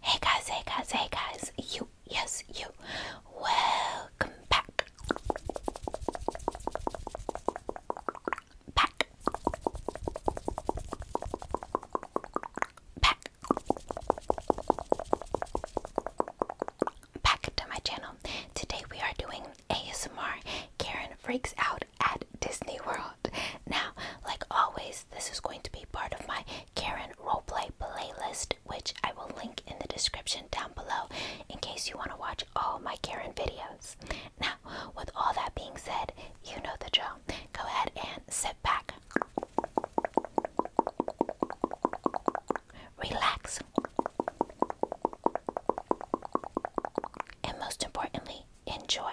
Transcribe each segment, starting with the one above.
Hey guys, hey guys, hey guys, you, yes, you, welcome back. Back. Back. Back to my channel. Today we are doing ASMR Karen Freaks Out at Disney World. Now, like always, this is going to be part of my Karen Roleplay playlist, which I will link in the description down below in case you want to watch all my Karen videos. Now, with all that being said, you know the drill. Go ahead and sit back, relax, and most importantly, enjoy.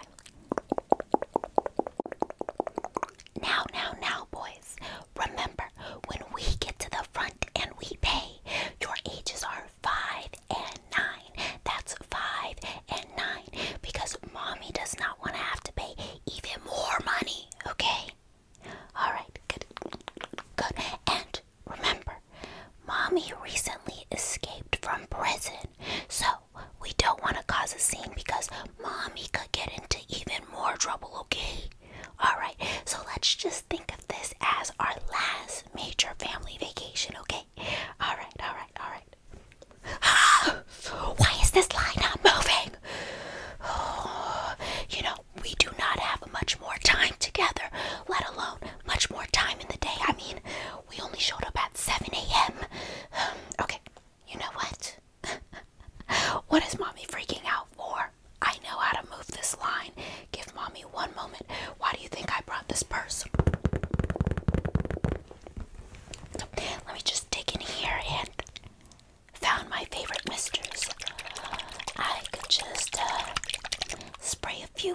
Now, now, now, boys, remember when we get to the front and we pay, your ages are five and nine. That's five and nine because mommy does not want to have to pay even more money, okay? All right, good, good. And remember, Mommy recently escaped from prison, so we don't want to cause a scene because Mommy could get into even more trouble, okay? Alright, so let's just think of this as our last major family vacation, okay? Alright, alright, alright. why is this line not moving? you know, we do not have much more time together, let alone much more time in the day. I mean, we only showed up at 7 a.m. okay, you know what? what is mommy freaking out for? I know how to move this line. Give mommy one moment. Why do you think I brought this purse? let me just dig in here and found my favorite misters. I could just uh, spray a few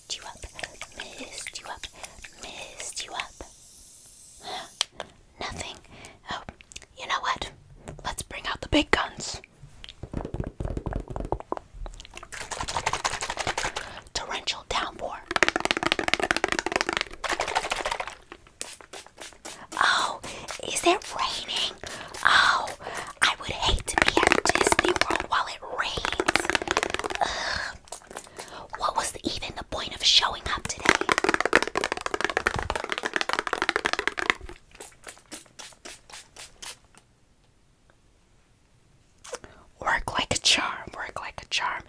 messed you up, messed you up, messed you up. Nothing. Oh, you know what? Let's bring out the big guns. Torrential downpour. Oh, is it raining? Oh, I would hate to be at Disney World while it rains. What was even the point of showing up today? Work like a charm, work like a charm.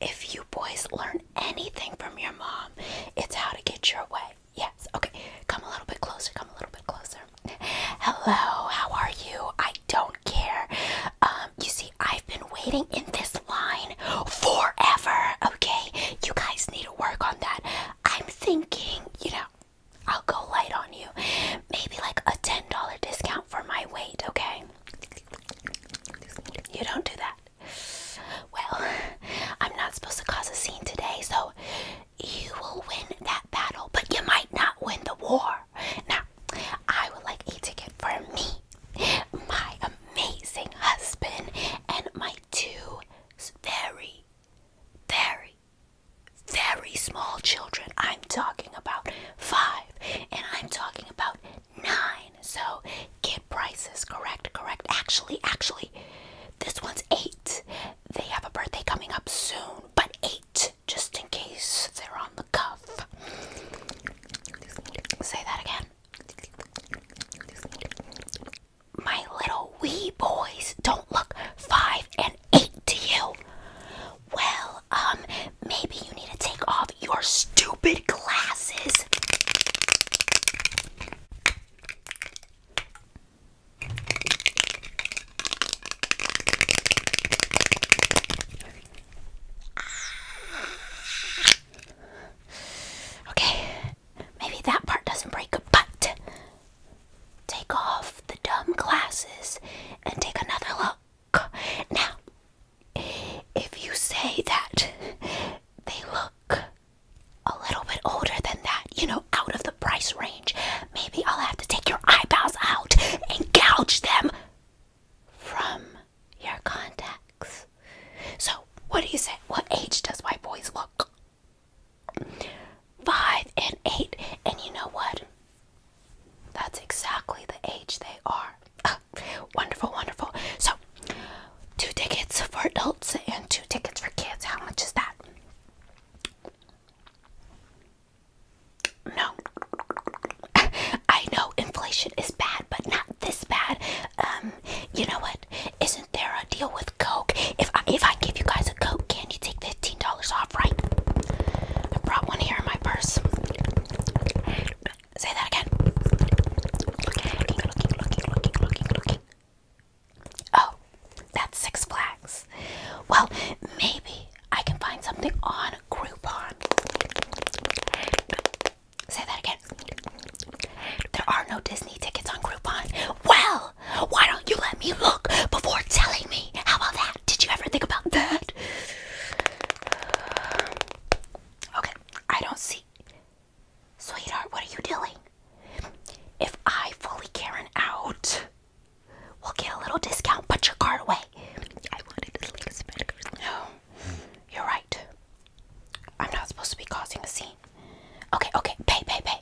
If you boys learn anything from your mom, it's how to get your way. Yes, okay. Come a little bit closer, come a little bit closer. Hello, how are you? I don't care. Um, you see, I've been waiting in this line forever, okay? You guys need to work on that. I'm thinking, you know, I'll go light on you. Maybe like a $10 discount for my weight, okay? You don't do that. Well, I'm not supposed to cause a scene today, so you will win that battle, but you might not win the war. Now, I would like a ticket for me, my amazing husband, and my two very, very, very small children. I'm talking about five, and I'm talking about nine. So, kid prices, correct, correct. Actually, actually, this one's eight. They have a birthday coming up soon, but eight just in case they're on the cuff. Say that again. My little wee boys don't look five and eight to you. Well, um, maybe you need to take off your stupid glasses. Okay, maybe that part doesn't break, but take off the dumb glasses and take another look. Now, if you say that they look a little bit older than that, you know, out of the price range, Maybe I'll have to take your eyebrows out and gouge them from your contacts. So, what do you say? What age does white boys look? Five and eight. And you know what? That's exactly the age they are. Ah, wonderful, wonderful. So, two tickets for adults and two tickets for kids. How much is that? No. I know inflation is bad, but not this bad. Um, you know what? Isn't there a deal with Coke? If I, if I give you guys a Coke, can you take fifteen dollars off? Right? I brought one here in my purse. Say that again. Oh, that's Six Flags. Well, maybe I can find something on Groupon. Say that again. There are no Disney tickets on Groupon. Well, why don't you let me look before telling me? How about that? Did you ever think about that? Okay, I don't see. Sweetheart, what are you doing? If I fully Karen out, We'll get a little discount. Put your card away. I wanted to leave Smackers. No, you're right. I'm not supposed to be causing a scene. Okay, okay, pay, pay, pay.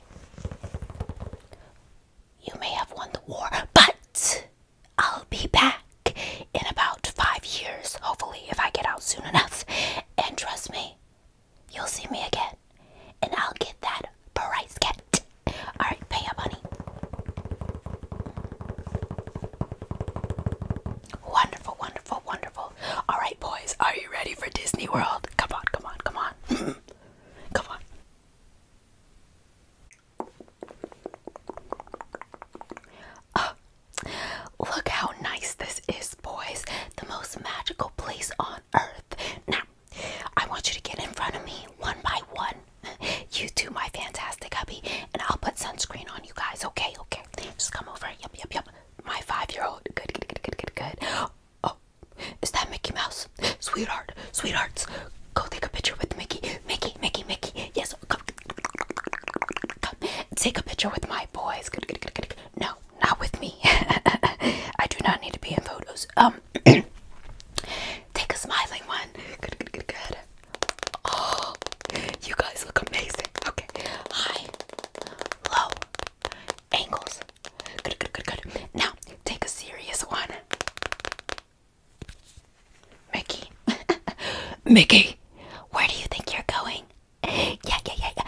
You may have won the war, but I'll be back in about five years, hopefully, if I get out soon enough. And trust me, you'll see me again, and I'll get that price cat. Alright, pay up, honey. Wonderful, wonderful, wonderful. Alright, boys, are you ready for Disney World? Come on, come on, come on. come on. Oh, look how nice this is, boys. The most magical place on earth. Now, I want you to get in front of me one by one. You two, my fantastic hubby, and I'll put sunscreen on you guys. Okay, okay. Just come over. Yep, yep, yep. My five-year-old. Good, good, good, good, good, Oh, is that Mickey Mouse? Sweetheart, sweethearts, go take a picture with Mickey. Mickey, Mickey, Mickey. Yes, come. Come take a picture with my boys. Good, good, good, No, not with me. I do not need to be in photos. Um, Take a smiling one. Good, good, good, good. Oh, you guys look amazing. Okay. High, low, angles. Good, good, good, good. Now, take a serious one. Mickey. Mickey, where do you think you're going? Yeah, yeah, yeah, yeah.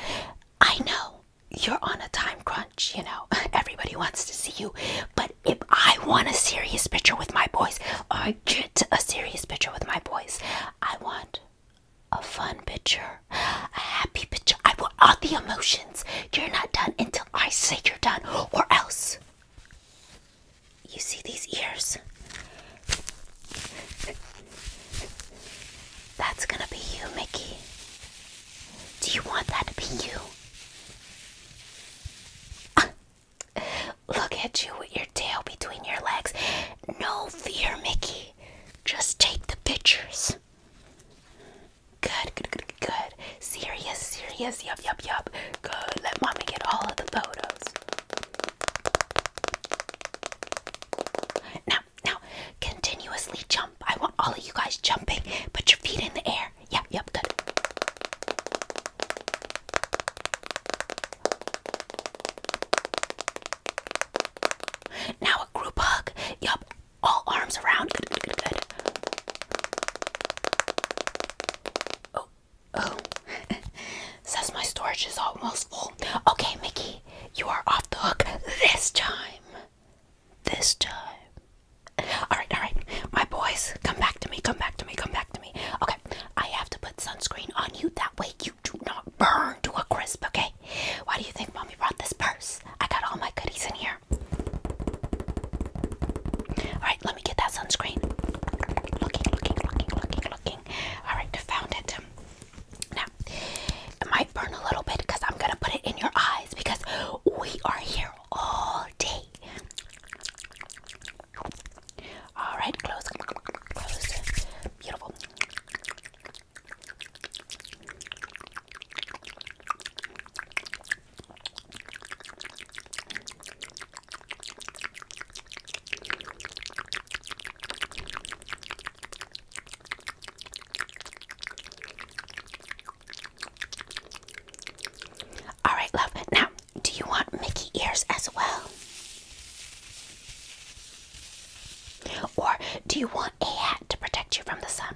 I know you're on a time crunch you know. Everybody wants to see you. But if I want a serious picture with my boys, I get a serious picture with my boys, I want a fun picture, a happy picture. I want all the emotions. You're not done until I say you're done, or else. You see these ears? That's gonna be you, Mickey. Do you want that to be you? Look at you with your tail between your legs. No fear, Mickey. Just take the pictures. Good, good, good, good. Serious, serious. Yup, yup, yup. Good. Let mommy get all of the photos. Now, now, continuously jump. I want all of you guys jumping. Put your feet in the air. Yeah, yep, good. Now a group hug. Yup, all arms around. good, good, good. Oh, oh. Says my storage is almost full. Okay, Mickey, you are off the hook this time. This time. All right, all right. My boys, come back to me, come back to me, come back to me. Okay, I have to put sunscreen on you. That way you do not burn to a crisp, okay? Why do you think mommy brought this purse? I got all my goodies in here. All right, let me get that sunscreen. Looking, looking, looking, looking, looking. All right, found it. Now, it might burn a little bit because I'm going to put it in your eyes because we are here all day all right, close, close. Beautiful. All right, love. Now, do you want Mickey ears as well? Or do you want a hat to protect you from the sun?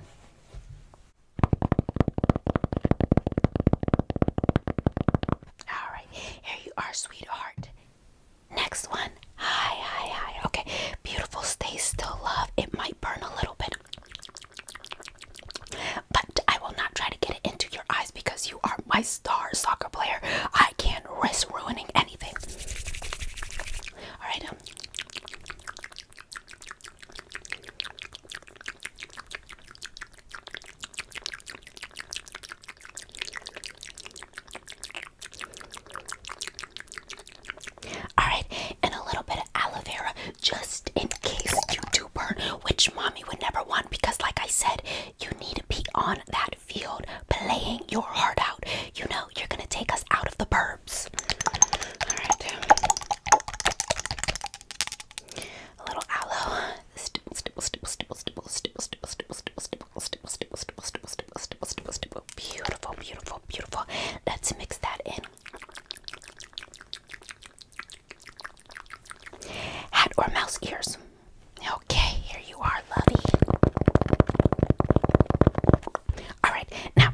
All right, here you are, sweetheart. Next one. Hi, hi, hi. Okay, beautiful. Stay still, love. It might burn a little bit, but I will not try to get it into your eyes because you are my star soccer player. I can't risk ruining anything. All right. Um. all right, and a little bit of aloe vera just in case you do burn, which mommy would never want because, like I said, you need to be on that field playing your heart out. You know, you're gonna take us out of the burbs. All right, a little aloe. Beautiful, beautiful, beautiful. Let's mix that in. Hat or mouse ears? Okay, here you are, lovey. Alright, now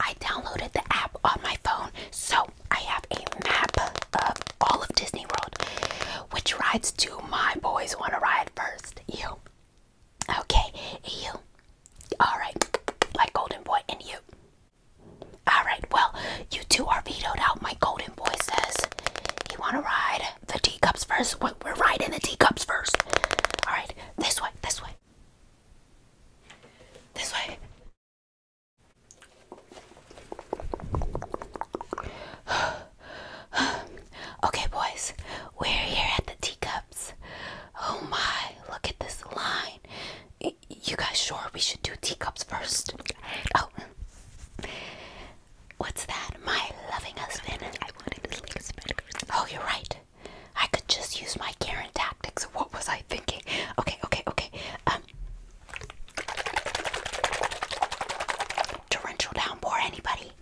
I downloaded the app on my phone, so I have a map of all of Disney World. Which rides do my boys want to ride first? You. Okay, you. Alright, like Golden Boy and you. Alright, well, you two are vetoed out. My golden boy says you want to ride the teacups first. We're riding the teacups first. Alright, this way, this way. This way. okay, boys, we're here at the teacups. Oh my, look at this line. You guys sure we should do teacups first? Oh. What's that? My loving husband. Oh, you're right. I could just use my Karen tactics. What was I thinking? Okay, okay, okay. Um, torrential downpour, anybody?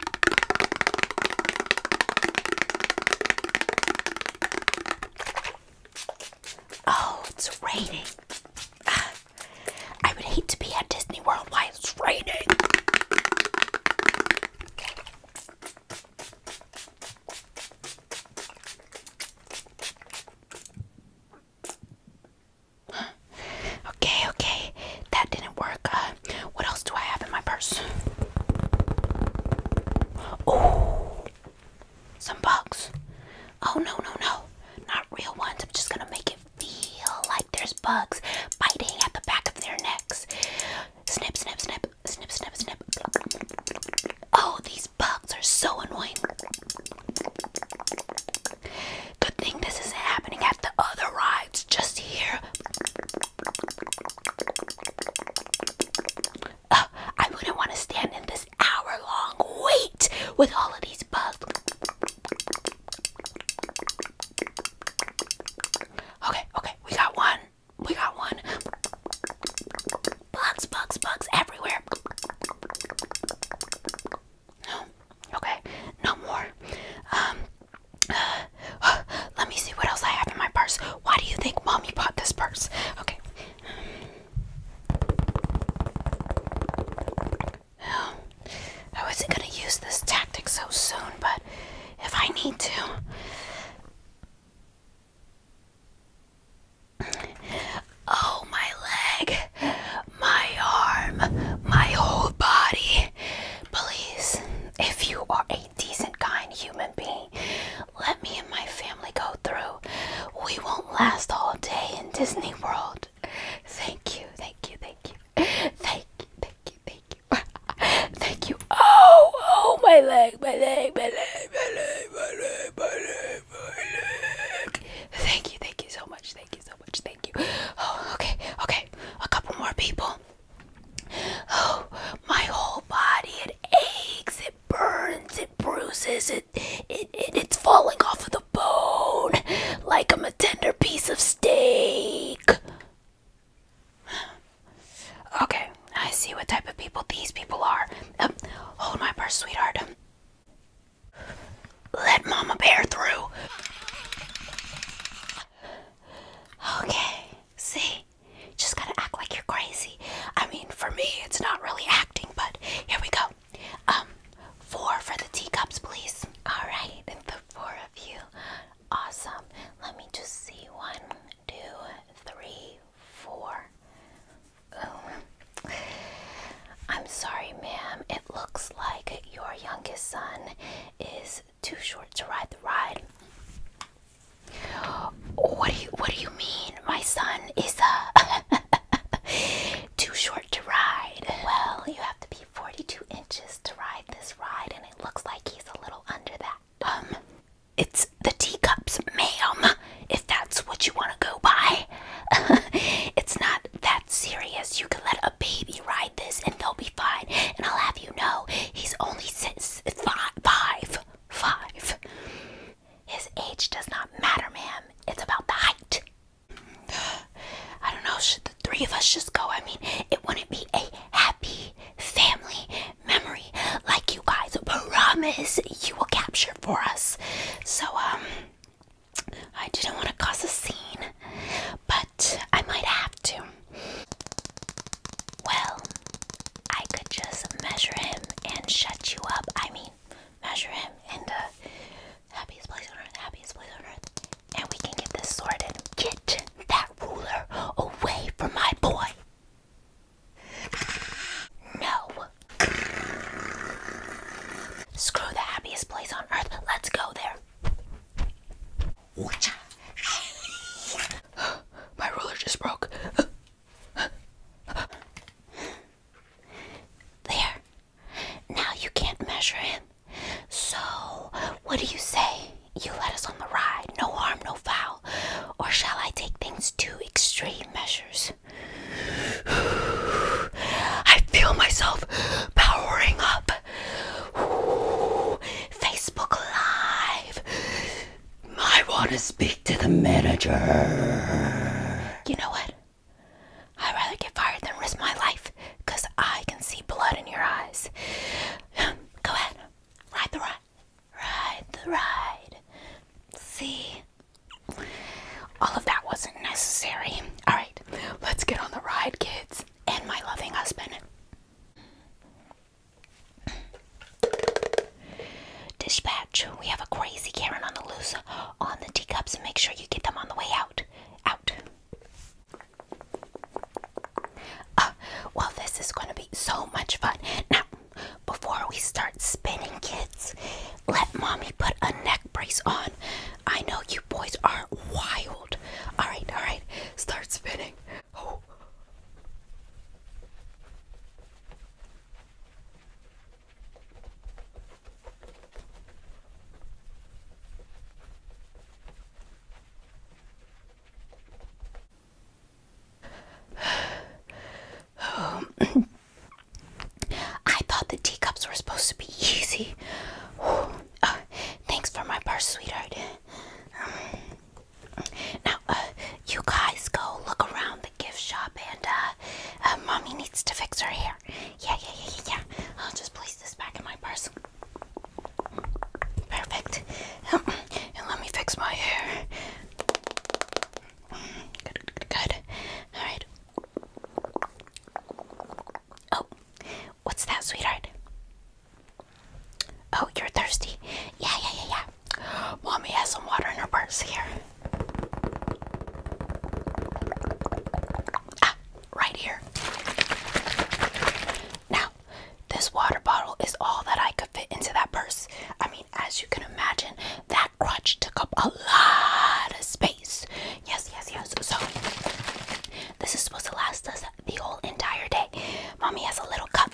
Oh, it's raining. I would hate to be at Disney World while it's raining. Okay, okay, that didn't work. Uh, what else do I have in my purse? Oh, some bugs. Oh no, no, no. Not real ones. I'm just gonna make it feel like there's bugs biting at the back of their necks. Snip, snip, snip, snip, snip, snip. Oh, these bugs are so annoying. Good thing this isn't happening at the other rides, just here. I wouldn't want to stand in this hour long wait with all of these bugs. Okay, okay, we got one. We got one. Bugs, bugs, bugs everywhere. No, okay, no more. Um, uh, let me see what else I have in my purse. Why do you think mommy bought this purse? Okay. I wasn't going to use this tactic so soon, but if I need to. Oh, my leg, my arm, my whole body. Please, if you are a decent, kind human being, let me and my family go through. We won't last all day in Disney World. Thank you, thank you, thank you. Thank you, thank you, thank you. thank you. Oh, oh, my leg, my leg, my leg, my leg, my leg, my leg, my leg. Thank you, thank you so much, thank you so much, thank you. Oh, okay, okay. A couple more people. Oh, my whole body, it aches, it burns, it bruises, it, it, it's falling off of the bone like I'm a tender piece of steak. Okay, I see what type of people these people are. Um, hold my purse, sweetheart. Let Mama Bear through. Okay, see? Just gotta act like you're crazy. I mean, for me, it's not really acting but here we go. Um, four for the teacups, please. All right, the four of you. Awesome. Let me just see. One, two, three, four. Oh. I'm sorry, ma'am. It looks like your youngest son is too short to ride the ride. What do you What do you mean? My son is uh, too short to ride. Well, you have to be 42 inches to ride this ride, and it looks like he's a little under that. Um, it's the teacups, ma'am. If that's what you want to go by, it's not that serious. You can let a baby ride this, and they'll be fine. And I'll have you know, he's only six, five, five, five. His age does not matter, ma'am. It's about the height. I don't know, should the three of us just go? I mean, it wouldn't be a happy family memory like you guys promise you will capture for us. So, um, I didn't want to cause a scene, but I might have to. Well, I could just measure him and shut you up. I mean, measure him in the happiest place on earth, happiest place on earth, and we can get this sorted. Get that ruler away from my boy. No. Screw the happiest place on earth. Let's go there. My ruler just broke there. Now you can't measure him. So, what do you say? You let us on the ride, no harm, no foul. Or shall I take things to extreme measures? I feel myself powering up. Facebook Live. I want to speak to the manager. You know what? I'd rather get fired than risk my life because I can see blood in your eyes. Go ahead. Ride the ride. Ride the ride. See? All of that wasn't necessary. All right, let's get on the ride, kids, and my loving husband. Dispatch, we have a crazy Karen on the loose on the teacups and make sure you get them on the way out. Out. Uh, well, this is going to be so much fun. Now, before we start spinning, kids, let mommy put a neck brace on. I know you boys are wild. All right, all right, start spinning. Oh. I thought the teacups were supposed to be easy. Uh, thanks for my purse, sweetheart. Um, now, uh, you guys go look around the gift shop and uh, uh, mommy needs to fix her hair. Yeah, yeah, yeah, yeah, yeah. I'll just place this back in my purse. Perfect. and let me fix my hair. good, good. All right. Oh, what's that, sweetheart? Oh, you're thirsty. Yeah, yeah, yeah, yeah. Mommy has some water in her purse here. Ah, right here. Now, this water bottle is all that I could fit into that purse. I mean, as you can imagine, that crutch took up a lot of space. Yes, yes, yes. So, this is supposed to last us the whole entire day. Mommy has a little cup.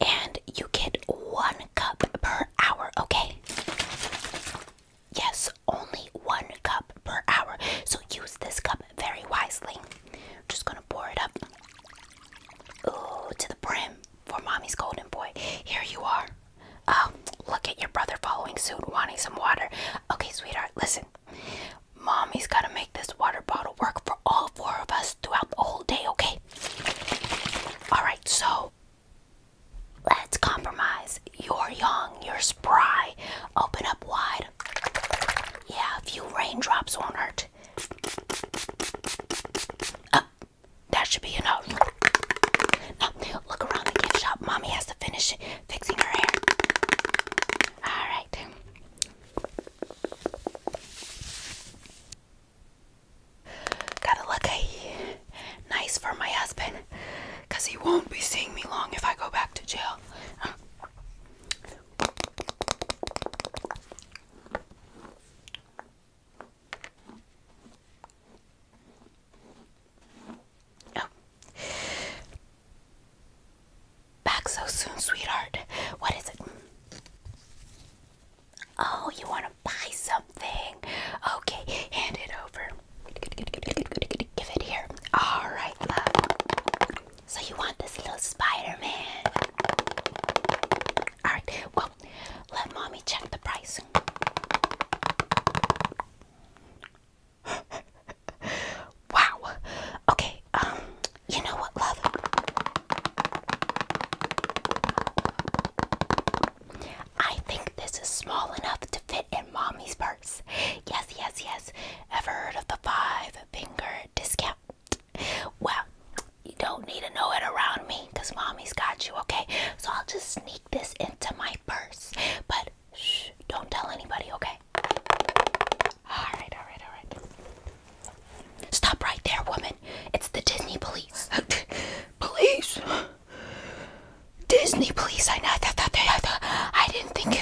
And you get one cup per hour, okay? Yes, only one cup per hour. So use this cup very wisely. just gonna pour it up. Ooh, to the brim for mommy's golden boy. Here you are. Oh, look at your brother following suit, wanting some water. Okay, sweetheart, listen. Mommy's gotta make this water bottle work for all four of us throughout the whole day, okay? Alright, so let's compromise. You're young, you're spry. Open up wide. Yeah, a few raindrops won't hurt. Uh, that should be enough. look around the gift shop. Mommy has to finish fixing her hair. Alright. Gotta look nice for my husband because he won't be seeing me long if I go back to jail. Oh. Back so soon, sweetheart. What is it? Oh, you want to buy something? Okay, hand it over. Give it here. All right, So you want this little Spider-Man? right. Well, let mommy check the price wow. Okay, um, you know what, love? I think this is small enough to fit in mommy's purse. Yes, yes, yes. Ever heard of the five finger discount? Well, you don't need to know it around me because mommy's got you, okay? So I'll just sneak this into my purse. But Shh, don't tell anybody, okay? Alright, alright, alright. Stop right there, woman. It's the Disney police. police? Disney police, I know. I didn't think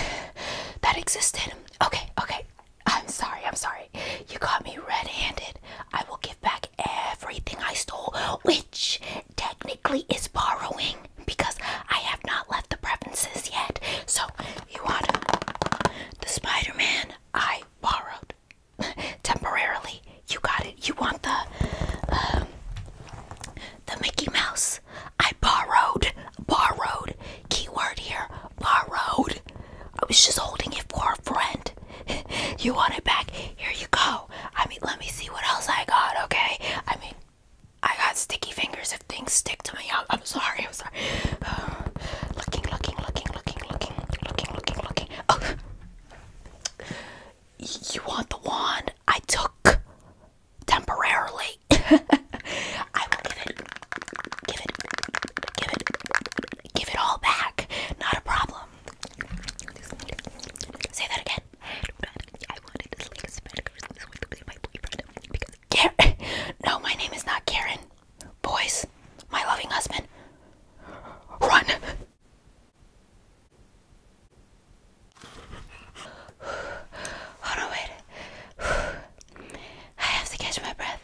that existed. Okay, okay. I'm sorry, I'm sorry. You caught me red handed. I will give back everything I stole, which technically is borrowing because I have not left the preferences yet. So you want the Spider-Man I borrowed temporarily. You got it. You want the um, the Mickey Mouse I borrowed. Borrowed. Keyword here. Borrowed. I was just holding it for a friend. you want it back? Here you go. I mean, let me see what else I got. Okay. I mean, I got sticky fingers if things stick to my young. I'm sorry, I'm sorry. Uh, looking, looking, looking, looking, looking, looking, looking, looking. Oh. You want the wand I took temporarily. I will give it, give it, give it, give it all back. Not a problem. Say that again. I wanted to sleep a spend Christmas with my boyfriend. Because Karen. No, my name is not Karen. Boys, my loving husband. Run. Hold on, wait. I have to catch my breath.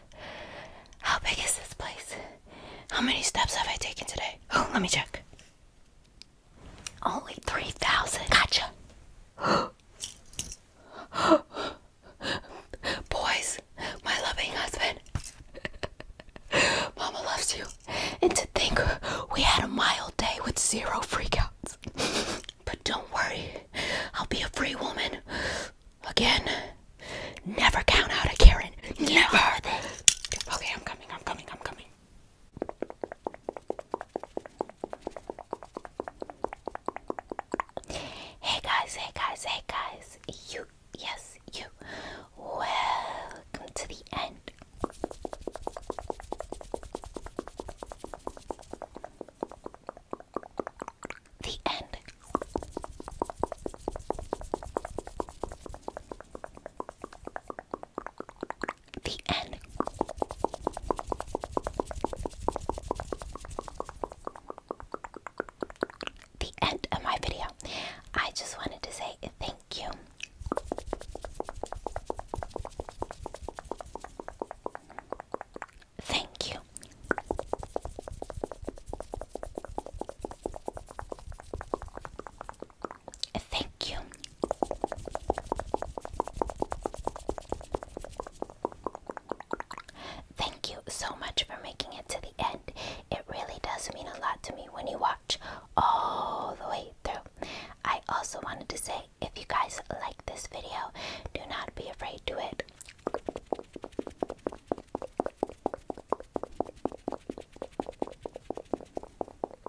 How big is this place? How many steps have I taken today? Oh, let me check. Only 3,000. Gotcha. Boys, my loving husband, Mama loves you. And to think we had a mild day with zero freakouts. but don't worry, I'll be a free woman. Again, never count out a Karen. Never. Okay, I'm coming, I'm coming, I'm coming. Hey guys, hey guys, hey guys, you, yes, you, welcome to the end. The end the end. The end of my video. I just wanted to say thank you. Thank you. Thank you. Thank you so much for making it to the end. It really does mean a lot to me when you watch all the way through. I also wanted to say if you guys like this video, do not be afraid to it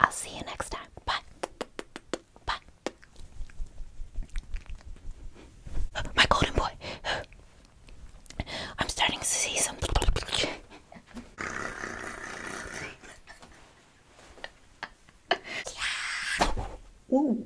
I'll see you next time. Bye. Bye. My golden boy. I'm starting to see some. Whoa.